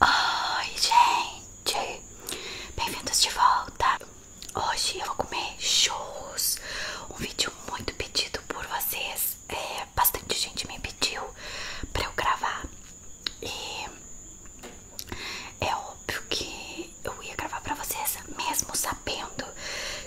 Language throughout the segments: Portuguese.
Oi, gente! Bem-vindos de volta! Hoje eu vou comer churros, um vídeo muito pedido por vocês. É, bastante gente me pediu pra eu gravar e é óbvio que eu ia gravar pra vocês, mesmo sabendo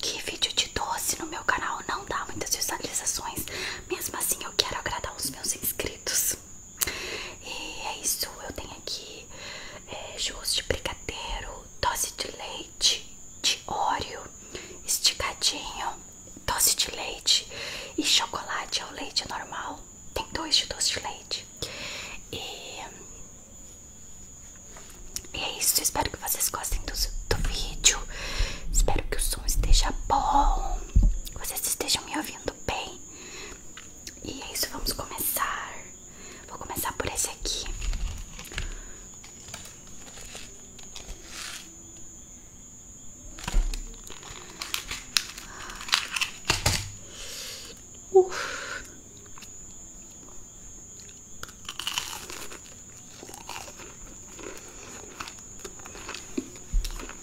que vídeo de doce no meu canal não dá muitas visualizações. Mesmo assim, eu quero agradar os meus inscritos. E é isso, eu tenho aqui é, de brigadeiro, doce de leite, de óleo, esticadinho, doce de leite e chocolate ao leite normal. Tem dois de doce de leite. E, e é isso, espero que vocês gostem do, do vídeo. Espero que o som esteja bom, vocês estejam me ouvindo bem. E é isso, vamos começar. Vou começar por esse aqui.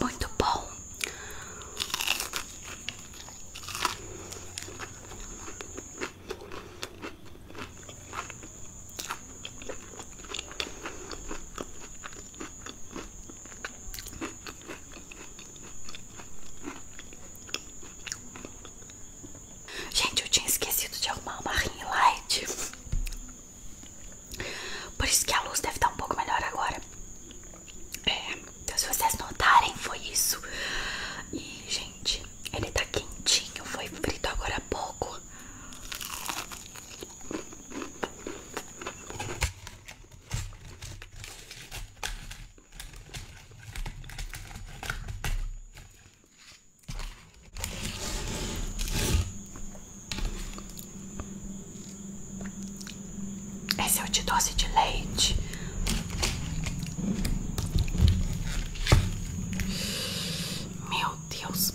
Muito bom. Gente, eu tinha esquecido de arrumar uma ring light por isso que a luz deve estar um pouco melhor agora. É, então se vocês notarem, foi isso. E, gente, ele tá quentinho, foi frito agora há pouco. Esse é o te doce de leite. Meu Deus.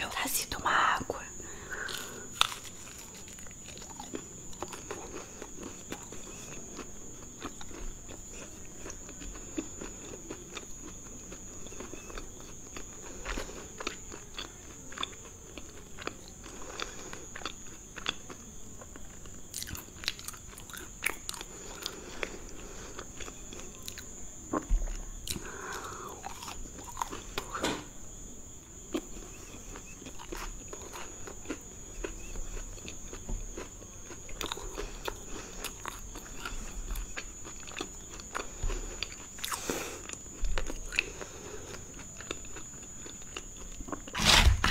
Eu nasci de uma água.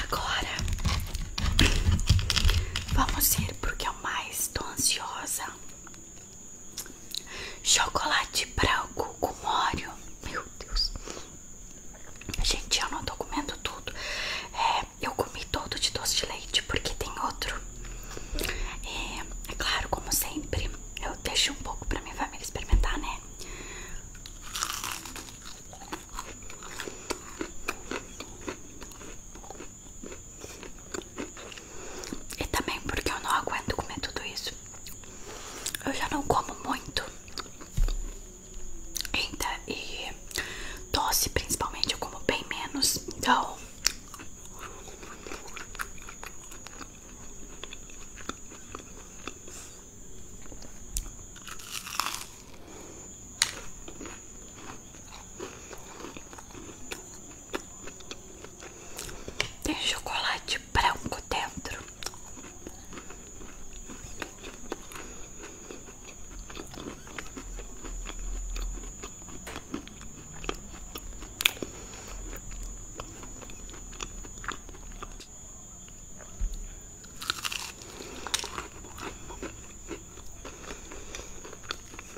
Agora vamos ir porque eu mais estou ansiosa Chocolate branco com óleo. Meu Deus. Gente, eu não tô comendo tudo. É, eu comi todo de doce de leite porque tem outro. É, é claro, como sempre, eu deixo um pouco pra minha família experimentar, né? E também porque eu não aguento comer tudo isso. Eu já não como muito. e doce principalmente eu como bem menos. Então. Tem chocolate branco dentro.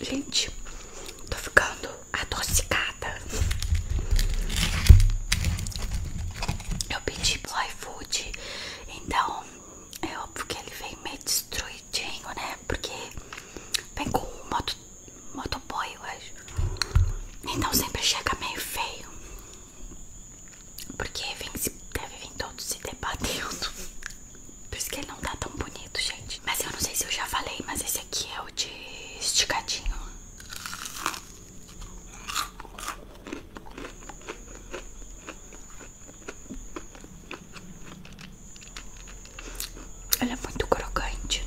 Gente, tô ficando adocicada. Eu pedi pro food, então é óbvio que ele vem meio destruidinho, né? Porque vem com moto, motoboy, eu acho. Então sempre chega meio feio. Porque vem, vir todos se debatendo. Por isso que ele não tá tão bonito, gente. Mas eu não sei se eu já falei, mas esse aqui é o de esticadinho. Ele é muito crocante.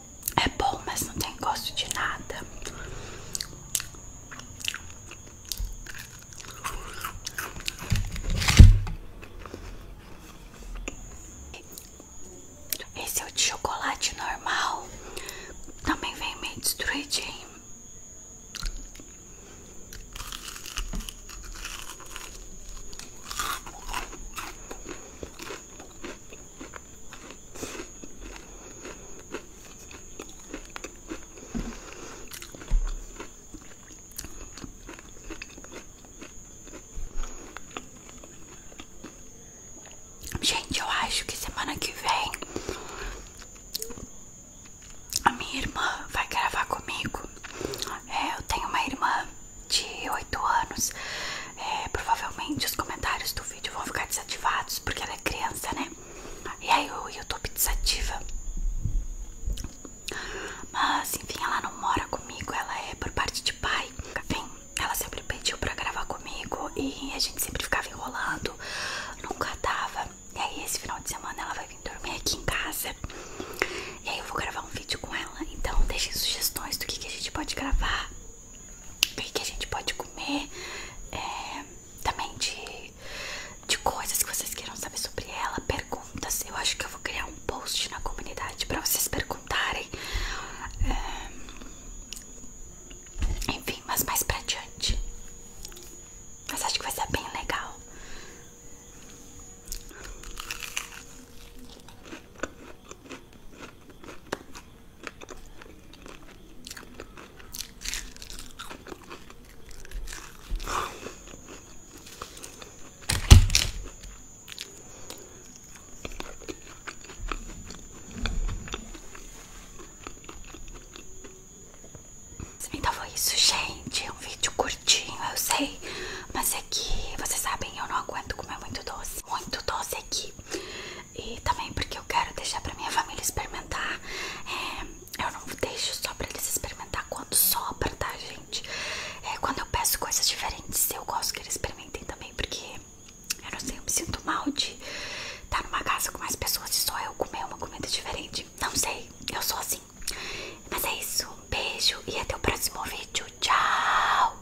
É bom, mas não tem gosto de nada. Esse é o de chocolate normal. Também vem meio destruidinho. Gente, eu acho que semana que vem a minha irmã vai gravar comigo. É, eu tenho uma irmã de oito anos é, provavelmente os comentários do vídeo vão ficar desativados porque ela é criança, né? E aí o YouTube desativa. Mas enfim, ela não mora comigo, ela é por parte de pai. Enfim, ela sempre pediu pra gravar comigo e a gente sempre ficava enrolando, nunca dava. E aí esse final de semana ela vai vir dormir aqui em casa. E aí eu vou gravar um vídeo com ela. Então deixem sugestões do que a gente pode gravar. O que a gente pode comer? É, também de, de coisas que vocês queiram saber sobre ela, perguntas. Eu acho que eu vou criar um post na comunidade para vocês perguntarem. É, enfim, mas mais pra diante. Mas acho que vai ser bem legal. Então foi isso, gente. É um vídeo curtinho, eu sei. Mas é que vocês sabem, eu não aguento comer muito doce. Muito doce aqui. E também porque eu quero deixar pra minha família experimentar. É, eu não deixo só pra eles experimentar quando sobra, tá, gente? É, quando eu peço coisas diferentes, eu gosto que eles experimentem também, porque eu não sei, eu me sinto mal de estar tá numa casa com mais pessoas e só eu comer uma comida diferente. Não sei, eu sou assim. Mas é isso, um beijo e até o próximo vídeo. Tchau!